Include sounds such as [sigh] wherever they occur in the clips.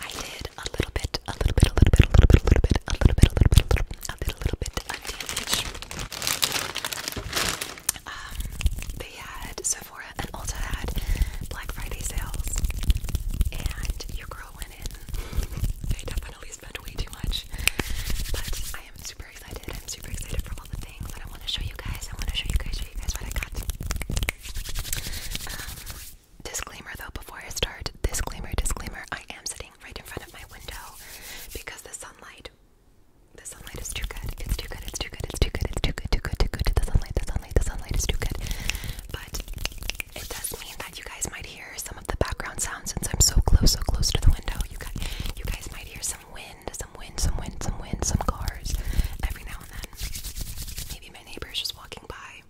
I did a little bit, a little bit, a little bit, a little bit, a little bit, a little bit, a little bit, a little bit, a little bit of damage. Um, they had Sephora and Ulta had Black Friday sales, and your girl went in. they definitely spent way too much, but I am super excited. I'm super excited for all the things that I want to show you guys. I want to show you guys, show you guys what I got. Um, disclaimer though, before I start, disclaimer, disclaimer, I am sitting right in front of my window because the sunlight, the sunlight is too good. It's too good, it's too good, it's too good, it's too good, too good, too good. The sunlight, the sunlight, the sunlight is too good. But it does mean that you guys might hear some of the background sounds since I'm so close, so close to the window. You guys, you guys might hear some wind, some wind, some wind, some wind, some cars every now and then maybe my neighbor is just walking by.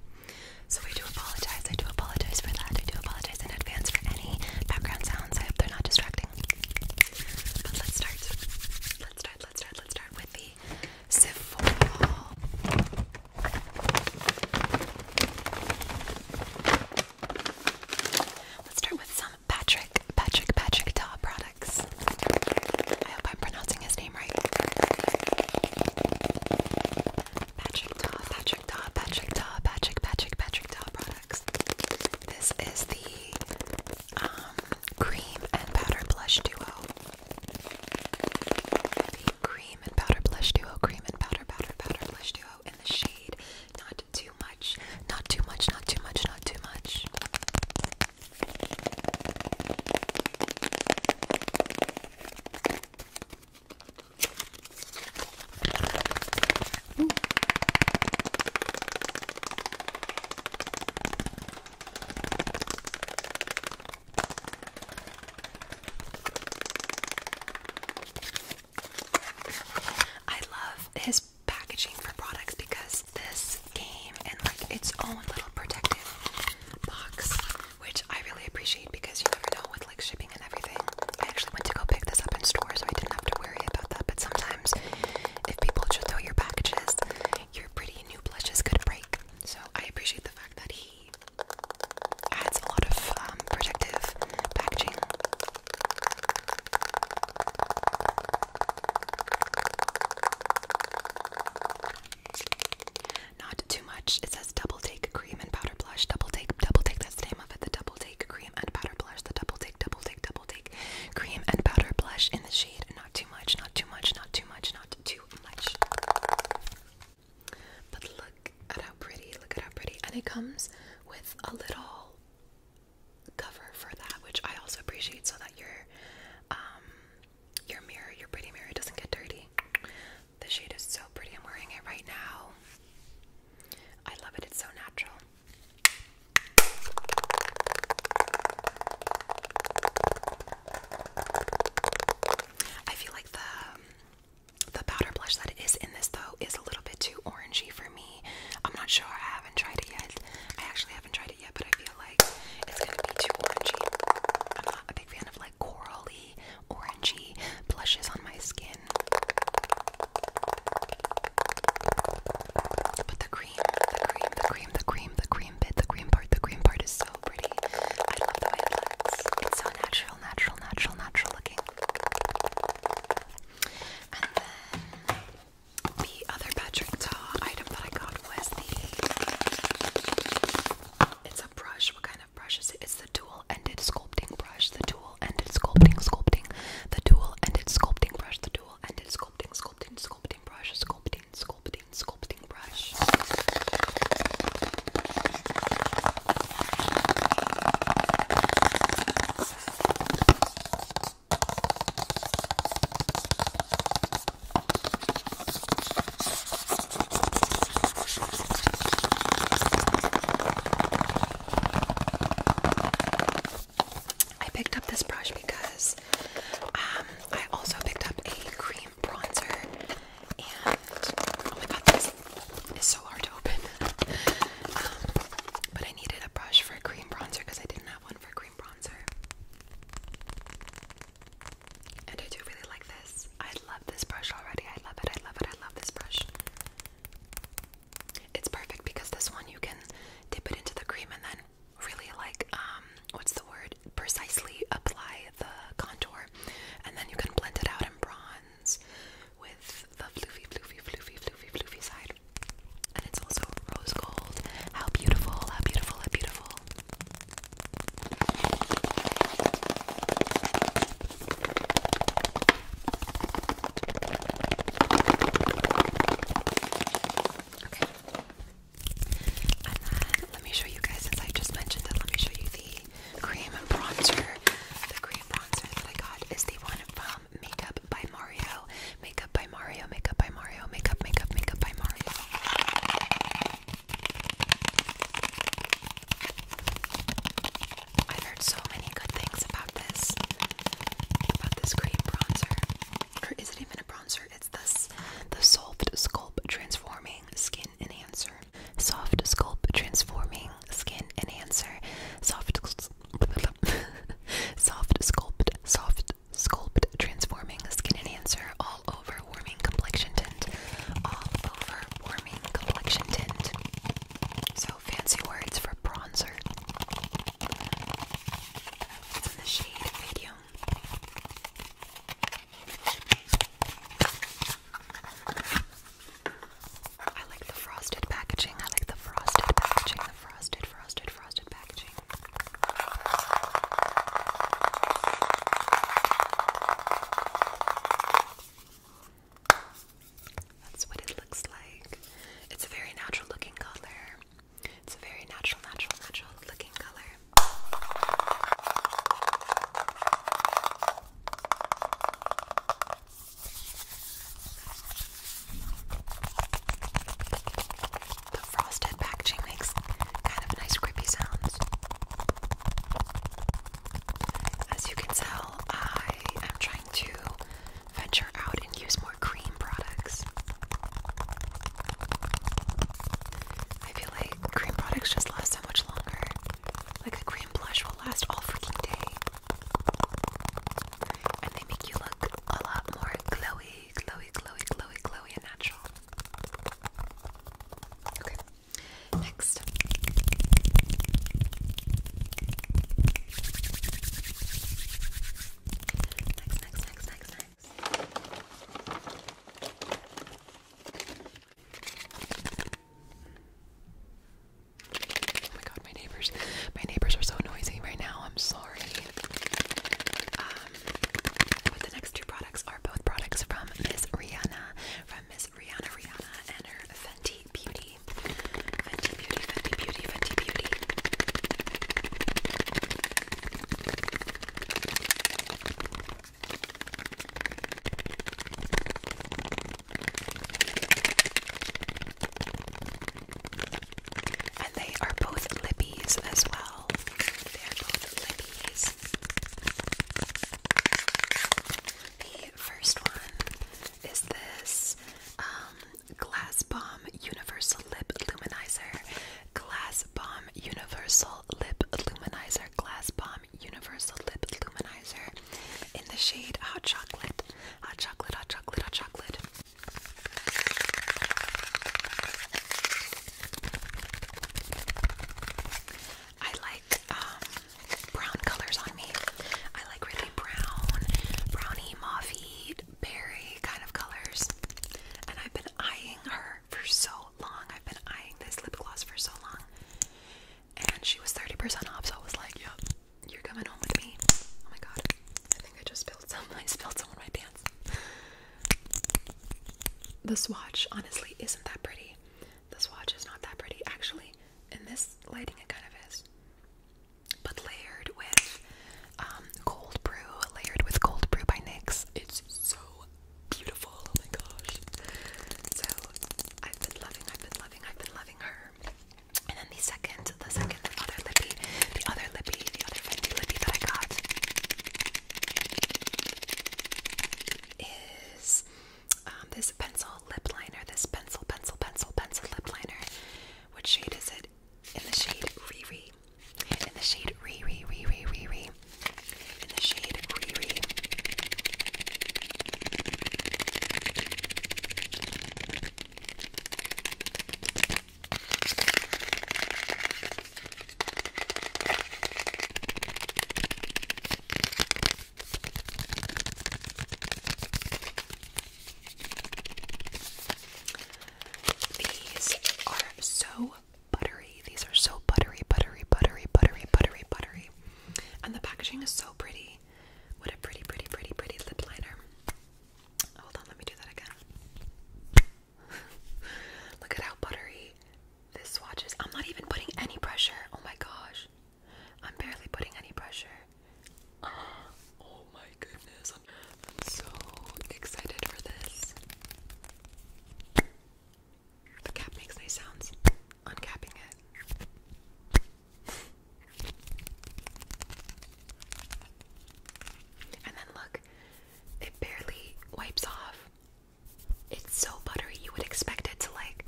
So I do apologize. I do apologize for that. I do apologize in advance for any background sounds. I hope they're not distracting. But let's start. Let's start. Let's start. Let's start with the Sephora. Let's start with some Patrick, Patrick, Patrick Ta product. I hope I'm pronouncing his name right. Patrick Daw, Patrick Daw, Patrick Daw, Patrick, Patrick, Patrick Daw products. This is the um, cream and powder blush duo. The cream and powder blush duo, cream and powder, powder, powder blush duo in the shade. Not too much, not too much, not too much, not too much. I love his packaging for products because this game in like its own little protective box, which I really appreciate because you never know with like shipping and everything. I actually went to go pick this up in store, so I didn't have to worry about that. But sometimes, if people just throw your packages, your pretty new blushes could break. So I appreciate the fact that he adds a lot of um, protective packaging. Not too much. It says double take cream and powder blush. Double take, double take. That's the name of it. The double take cream and powder blush. The double take, double take, double take cream and powder blush in the shade. Not too much. Not too much. Not too much. Not too much. But look at how pretty. Look at how pretty. And it comes with a little cover for that, which I also appreciate, so that you're. Um, your mirror, your pretty mirror doesn't get dirty. The shade is so pretty. I'm wearing it right now. I love it. It's so natural. I feel like the the powder blush that is in this though is a little bit too orangey for me. I'm not sure. I haven't tried it yet. I actually haven't tried it yet, but I like it's gonna be too orangey. I'm not a big fan of like corally, orangey blushes on my skin. But the cream, the cream, the cream, the cream, the cream bit, the cream part, the cream part is so pretty. I love the way it looks. It's so natural, natural, natural, natural looking. And then the other Patrick Ta item that I got it's a brush. What kind of brush is it? It's the dual ended sculpting brush. The dual ended sculpting, sculpting. The dual ended sculpting brush. The dual ended sculpting, sculpting, sculpting brush. Sculpting, sculpting, sculpting brush. I picked up this brush because um, I also picked up a cream bronzer, and oh my god, this is so hard to open. [laughs] Um, but I needed a brush for a cream bronzer because I didn't have one for cream bronzer. And I do really like this. I love this brush already. I love it. I love it. I love this brush. It's perfect because this one you can dip it into the cream and then really like um what's the word? Precisely apply the contour and then you can blend it out in bronze with the floofy floofy floofy floofy floofy side. And it's also rose gold. How beautiful, how beautiful, how beautiful. Okay. And then let me show you guys, since I just mentioned it, let me show you the cream bronzer. The cream bronzer that I got is the one from Makeup by Mario. Makeup by Mario, Makeup by Mario, Makeup, Makeup, Makeup by Mario. I've heard so many good things about this, about this cream bronzer. Or is it even a bronzer? It's this, the Soft Sculpt Transforming Skin Enhancer. Soft Sculpt Transforming Skin Enhancer. Soft, [laughs] soft sculpt, soft sculpt, transforming skin enhancer, all over warming complexion tint, all over warming complexion tint. So fancy words for bronzer. It's the shade medium. I like the frosted packaging. I like the frosted packaging. The frosted, frosted, frosted packaging. That's what it looks like. It's a very natural looking color. It's a very natural, natural, natural looking color. The frosted packaging makes kind of nice creepy sounds. As you can tell, I am trying to venture out and use more cream products. I feel like cream products just last so much longer. Like a cream blush will last all freaking day. And they make you look a lot more glowy Chloe, Chloe, Chloe, Chloe, and Natural. Okay, next. Next, next, next, next, Oh my god, my neighbors. My neighbors are so noisy right now. I'm sorry. Um, the next two products are both products from Miss Rihanna, from Miss Rihanna Rihanna and her Fenty Beauty. Fenty Beauty, Fenty Beauty, Fenty Beauty. And they are both lippies as well. The first one is this um, Glass Bomb Universal Lip Luminizer. Glass Bomb Universal Lip Luminizer. Glass Bomb Universal Lip Luminizer in the shade Hot Chocolate. Hot Chocolate, Hot Chocolate, Hot Chocolate. I like um, brown colors on me. I like really brown, browny, mauvey, berry kind of colors. And I've been eyeing her for so long. I've been eyeing this lip gloss for so long. And she was 30% off, so I was like, yep, you're coming home with me. Oh my god. I think I just spilled some. [laughs] I spilled some on my pants. The swatch honestly isn't that pretty. The swatch is not that pretty. Actually, in this lighting it kind of is. But layered with um, Cold Brew, layered with Cold Brew by NYX. It's so beautiful. Oh my gosh. So I've been loving, I've been loving, I've been loving her. And then the second, the second, other lippy, the other lippy, the other Fendi lippy that I got is um, this pencil lip liner, this pencil, pencil, pencil, pencil lip liner. What shade is it? In the shade Riri. In the shade Riri, Riri, Riri. In the shade Riri. These are so buttery. These are so buttery, buttery, buttery, buttery, buttery, buttery. And the packaging is so pretty. What a pretty, pretty, pretty, pretty lip liner. Hold on, let me do that again. [laughs] Look at how buttery this swatch is. I'm not even putting any pressure. Oh my gosh. I'm barely putting any pressure. [gasps] oh my goodness. I'm, I'm so excited for this. The cap makes nice sounds. Uncapping it. And then look, it barely wipes off. It's so buttery, you would expect it to like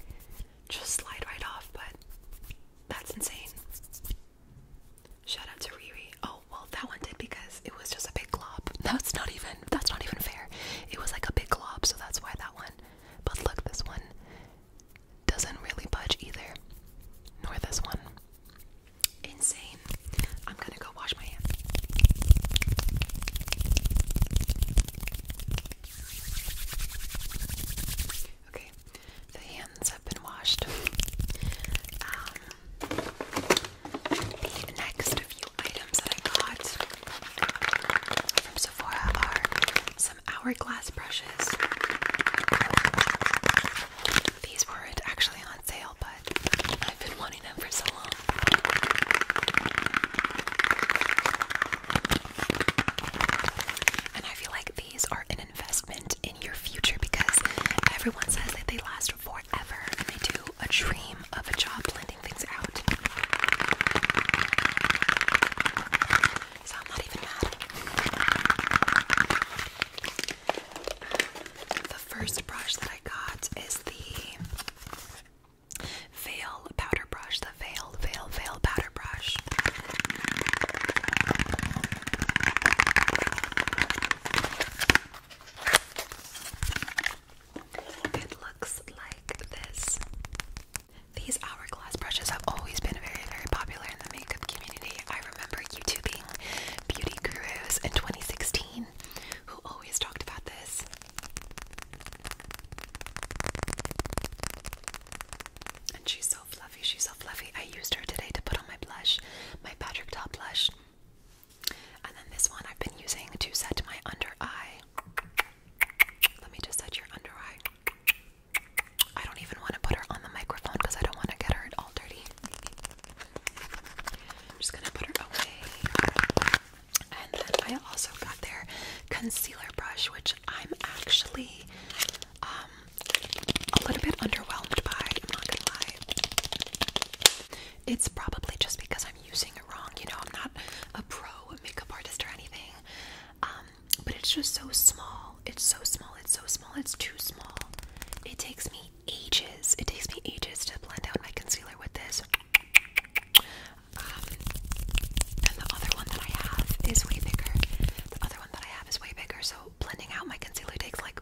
just slide right off, but that's insane. Shout out to Riri. Oh, well that one did because it was just a big glob. [laughs] That's not even that's not even fair. It was like a big glob, so that's why that one. But look, this one doesn't really budge either. Nor this one. Insane. I'm gonna go wash my hands. Okay, the hands have been washed. Um, next few items that I got from Sephora are some hourglass brushes. These weren't actually on sale, but I've been wanting them for so long. And I feel like these are an investment in your future because everyone says that they last forever and do a dream of job blending things out. So I'm not even mad. Um, the first brush that I got is the Veil powder brush, the veil, veil, veil powder brush. It looks like this. These hourglass brushes have always been very, very popular in the makeup community. I remember YouTubing beauty gurus in 2016 who always talked about this. And she's so fluffy, she's so fluffy. I used her today to put on my blush, my Patrick Top blush. And then this one I've been using to set my under eye. Let me just set your under eye. I don't even want to put her on the microphone because I don't want to get her all dirty. I'm just gonna put her away. And then I also got their concealer brush, which I'm actually um, a little bit underwhelmed by, I'm not gonna lie. It's probably just because I'm using it wrong, you know, I'm not a pro makeup artist or anything. Um, but it's just so small. It's so small, it's so small, it's too small. It takes me ages. It takes me ages to blend out my concealer with this. Um, and the other one that I have is way bigger. The other one that I have is way bigger, so blending out my concealer takes like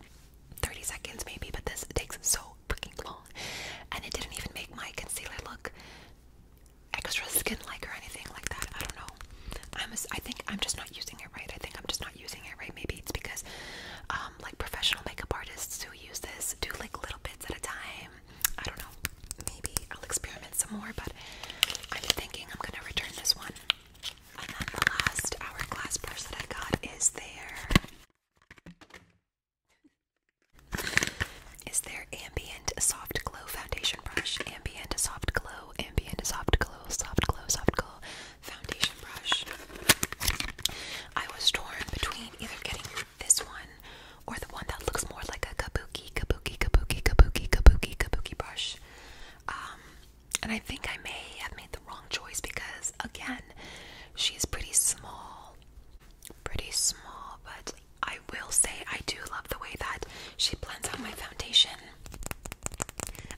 30 seconds maybe, but this takes so freaking long. And it didn't even make my concealer look extra skin-like or anything like that. I don't know. I'm a, i am I think I'm just not using it right. I think I'm just not using it right. Maybe it's because uh, um, like professional makeup artists who use this do like little bits at a time. I don't know. Maybe I'll experiment some more, but I'm thinking I'm gonna return this one. And then the last hourglass brush that I got is their is their ambient soft glow foundation brush. Ambient soft glow, ambient soft glow, soft glow, soft glow foundation brush. I was torn between either getting this one or the one that looks more like a kabuki, kabuki, kabuki, kabuki, kabuki, kabuki brush. Um, and I think I may have made the wrong choice because, again, she's pretty small. Pretty small, but I will say I do love the way that she blends out my foundation.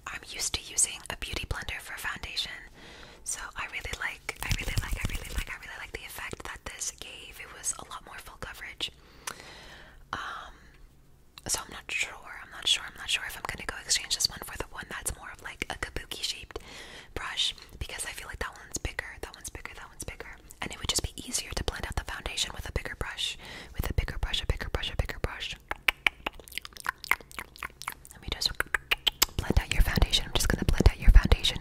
I'm used to using a beauty blender for foundation, so I really like, I really like, I really like, I really like the effect that this gave. It was a lot more full coverage. Um, so I'm not sure. I'm not sure. I'm not sure if I'm gonna go exchange this one for the one that's more of like a kabuki shaped brush because I feel like that one's bigger. That one's bigger. That one's bigger. And it would just be easier to blend out the foundation with a bigger brush. With a bigger brush. A bigger brush. A bigger brush. Let me just blend out your foundation. I'm just gonna blend out your foundation.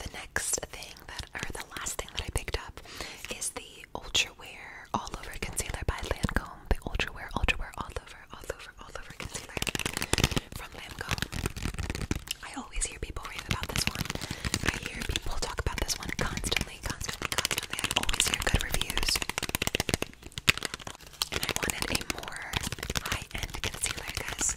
The next thing that, or the last thing that I picked up is the Ultra Wear All Over Concealer by Lancome. The Ultra Wear, Ultra Wear All Over, All Over, All Over Concealer from Lancome. I always hear people rave about this one. I hear people talk about this one constantly, constantly, constantly. always hear good reviews. And I wanted a more high-end concealer, guys.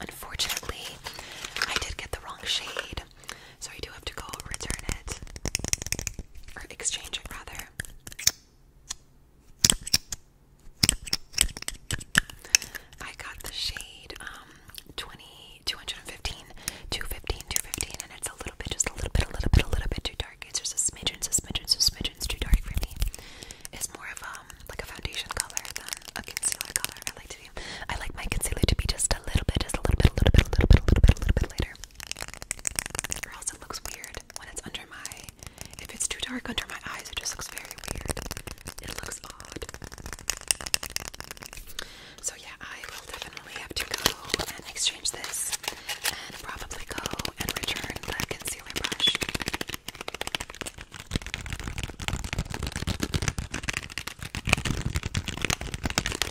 Unfortunately, I did get the wrong shade, so I do have to go return it or exchange it rather. I got the shade um 20 and it's a little bit just a little bit a little bit a little bit too dark. It's just a smidgen, smidgen, smidgen too dark for me. It's more of um like a foundation color than a concealer color. I like to see. I like my concealer to be just a little bit, just a little bit, a little bit, a little bit, a little bit, a little bit lighter. Or else it looks weird when it's under my. If it's too dark under my eyes, it just looks very weird. It looks odd. So yeah, I will definitely have to go and exchange this, and probably go and return the concealer brush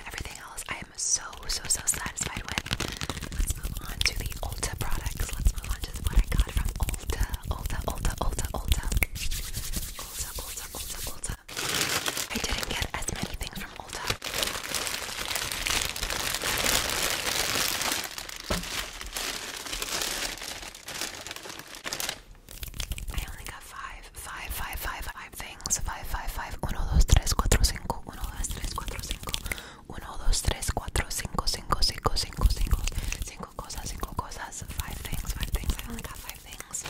everything else I am so so so satisfied with. Let's move on to the Ulta products. Let's move on to what I got from Ulta. Ulta, Ulta, Ulta, Ulta. Ulta, Ulta, Ulta, Ulta. I didn't get as many things from Ulta. I only got five, five, five, five, five things. Five, five, five. Uno, dos, tres, cuatro, cinco. Uno, dos, tres, cuatro, cinco. Uno, dos, tres, cuatro, cinco, cinco, cinco, cinco, cinco. Cinco cosas, cinco cosas. Five things, five things. I only got five things.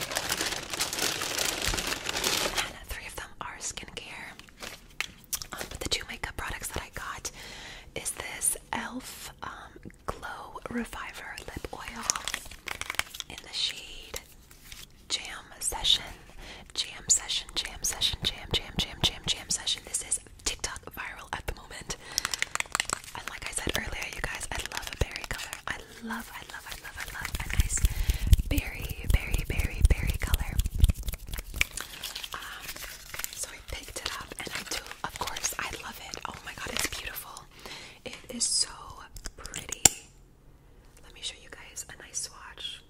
And three of them are skincare. Um, but the two makeup products that I got is this e.l.f. Um, Glow Reviver Lip Oil in the shade Jam Session. Jam Session, Jam Session, Jam, Jam, Jam, Jam, Jam Session. This is TikTok viral at the moment. And like I said earlier, you guys, I love a berry color. I love, I love, I love, I love a nice berry, berry, berry, berry color. Um, so I picked it up and I do, of course, I love it. Oh my god, it's beautiful. It is so pretty. Let me show you guys a nice swatch.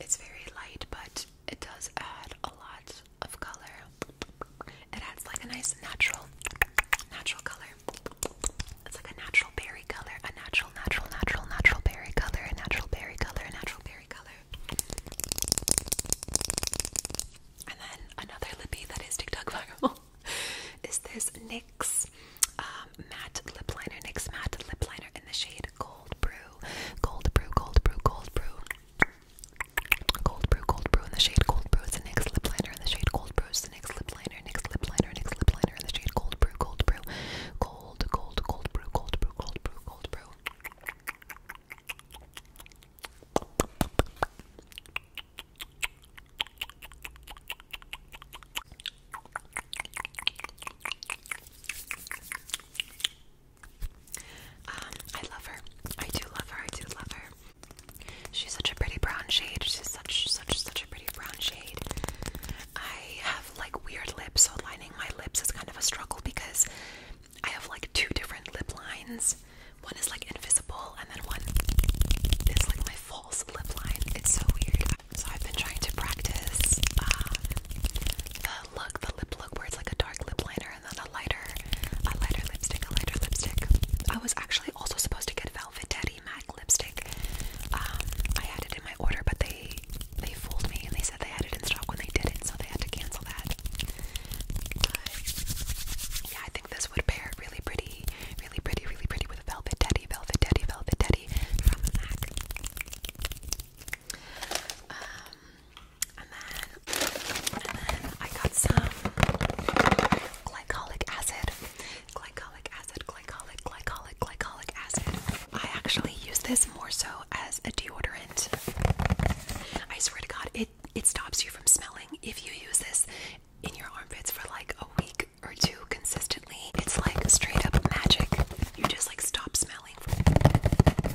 It's very light, but it does add a lot of color. It adds like a nice natural, natural color. It's like a natural berry color, a natural, natural, natural, natural berry color, a natural berry color, a natural berry color. And then another lippy that is TikTok viral. [laughs] [laughs] is this NYX um, matte lip liner, NYX matte lip liner in the shade Cold Brew. Cold Brew, Cold Brew, Cold Brew. Cold Brew, Cold Brew in the shade Cold Brew. It's a NYX lip liner in the shade Cold Brew. It's a NYX lip liner, NYX lip liner, NYX lip liner in the shade Cold Brew, Cold Brew. Cold, cold, cold brew, cold brew, cold brew, cold brew. Um, I love her. I do love her. I do love her. She's such a pretty brown shade. She's such, such, such a pretty brown shade. I have like weird lips, so lining my lips is kind of a struggle because I have like two different lip lines. One is like invisible, and then one is like my false lip line. It's so weird. So I've been trying to practice um, the look, the lip look, where it's like a dark lip liner and then a lighter, a lighter lipstick, a lighter lipstick. I was actually also supposed to get Velvet Daddy Mac lipstick. Um, I had it in my order, but they they fooled me and they said they had it in stock when they didn't, so they had to cancel that. yeah, I think this would pair really pretty, really pretty, really pretty with Velvet Teddy, Velvet Teddy, Velvet Teddy from MAC. Um, and then, and then I got some glycolic acid, glycolic acid, glycolic, glycolic, glycolic acid. I actually use this more so as a deodorant. I swear to God, it it stops you from smelling. If you use this, in your armpits for like a week or two consistently, it's like straight up magic. You just like stop smelling.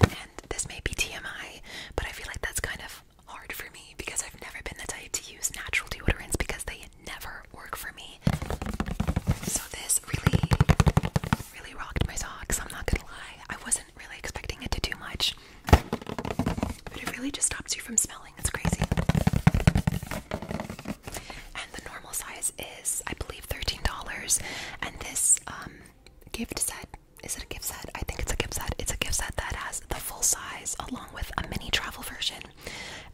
And this may be TMI, but I feel like that's kind of hard for me because I've never been the type to use natural deodorants because they never work for me. So this really, really rocked my socks. I'm not gonna lie. I wasn't really expecting it to do much. But it really just stops you from smelling. It's crazy. And the normal size is, I believe, $13. And this um, gift set is it a gift set? I think it's a gift set. It's a gift set that has the full size along with a mini travel version.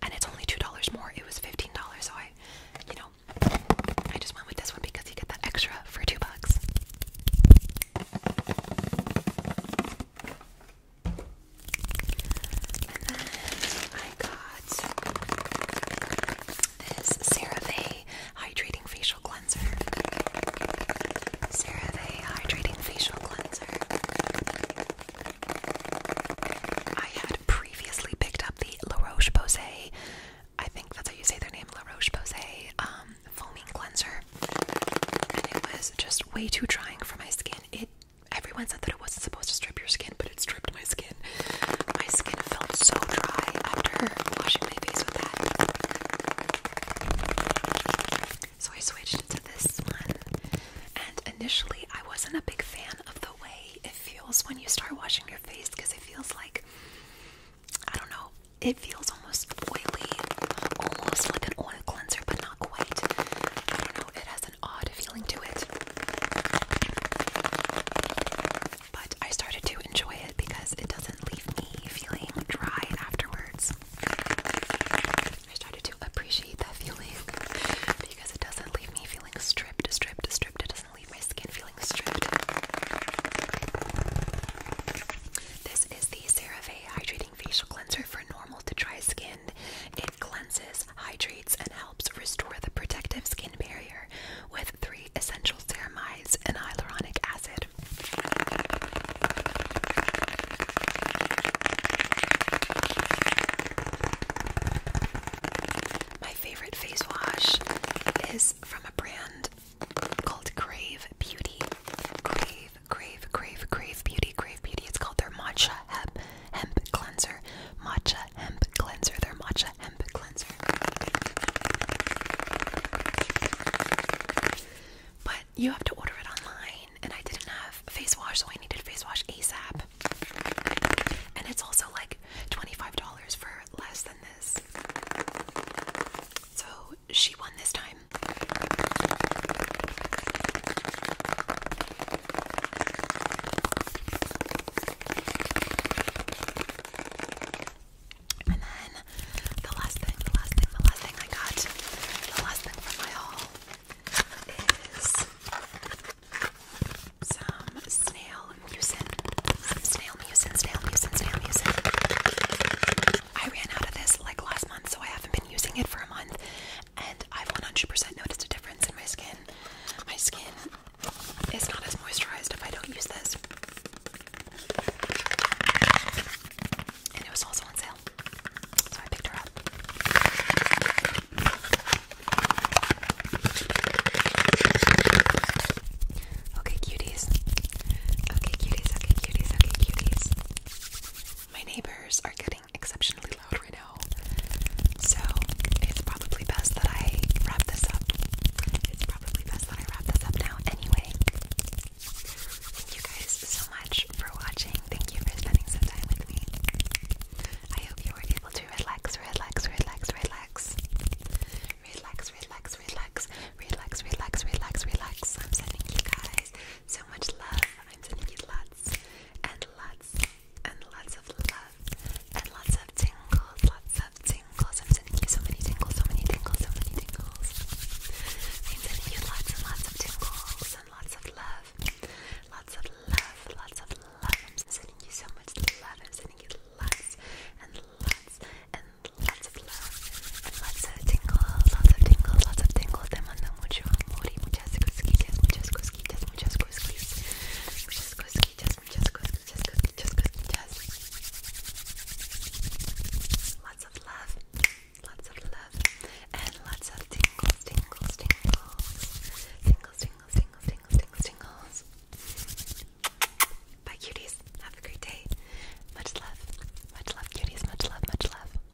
And it's only $2 more. It was $15. So I, you know, I just went with this one because you get that extra for two bucks. I got this CeraVe Hydrating Facial Cleanser. CeraVe Hydrating Facial Cleanser. I had previously picked up the La Roche-Posay, I think that's how you say their name, La Roche-Posay um, Foaming Cleanser and it was just way too drying for my skin. It everyone said that it wasn't supposed to strip your skin, but it stripped my skin. My skin felt so dry after washing my face with that. So I switched to this one, and initially I wasn't a big fan of the way it feels when you start washing your face because it feels like I don't know. It feels almost oily, almost like an cleanser, but not quite. I know, it has an odd feeling to it. But I started to enjoy it because it doesn't leave me feeling dry afterwards. I started to appreciate that feeling because it doesn't leave me feeling stripped, stripped, stripped. It doesn't leave my skin feeling stripped. This is the CeraVe Hydrating Facial Cleanser for normal to dry skin. It cleanses, hydrates, and helps restore the protective skin barrier with three essential ceramides and hyaluronic acid. My favorite face wash is from a brand called Crave Beauty. Crave crave, crave, crave beauty, crave beauty. It's called their matcha hemp hemp cleanser. Matcha hemp cleanser. Their matcha hemp cleanser. But you have to order it online, and I didn't have face wash, so I needed face wash ASAP. And it's also like $25 for less than this. So she won this time. And then the last thing, the last thing, the last thing I got, the last thing from my haul is some snail mucin. snail mucin, snail mucin, snail mucin. I ran out of this like last month, so I haven't been using it for a month and I've 100% noticed a difference in my skin. My skin is not as moisturized if I don't use this. And it was also on sale, so I picked her up. Okay, cuties. Okay, cuties. Okay, cuties. Okay, cuties. My neighbors are getting getting exceptionally loud right now. So it's probably best that I wrap this up. It's probably best that I wrap this up now anyway. Thank you guys so much for watching. Thank you for spending some time with me. I hope you were able to relax, relax, relax, relax. Relax, relax, relax, relax, relax, relax, relax. I'm sending you guys so much love. I'm sending you lots and lots and lots of love and lots of tingles, lots of tingles. I'm sending you so many tingles, so many tingles, so many tingles. I'm sending you lots and lots of tingles and lots of love, lots of love, lots of love. I'm sending you so much love. I'm sending you lots and lots and lots of love and lots tingles, lots of tingles, lots of tingles. Te mando mucho amor y muchas cosquillas, muchas cosquillas, muchas cosquillas, muchas cosquillas, muchas cosquillas, cosquillas, cosquillas. Lots of love, lots of love, and lots of tingles, tingles, tingles, tingles, tingles, tingles, tingles. Bye, cuties. Have a great day. Much love, much love, cuties. Much love, much love.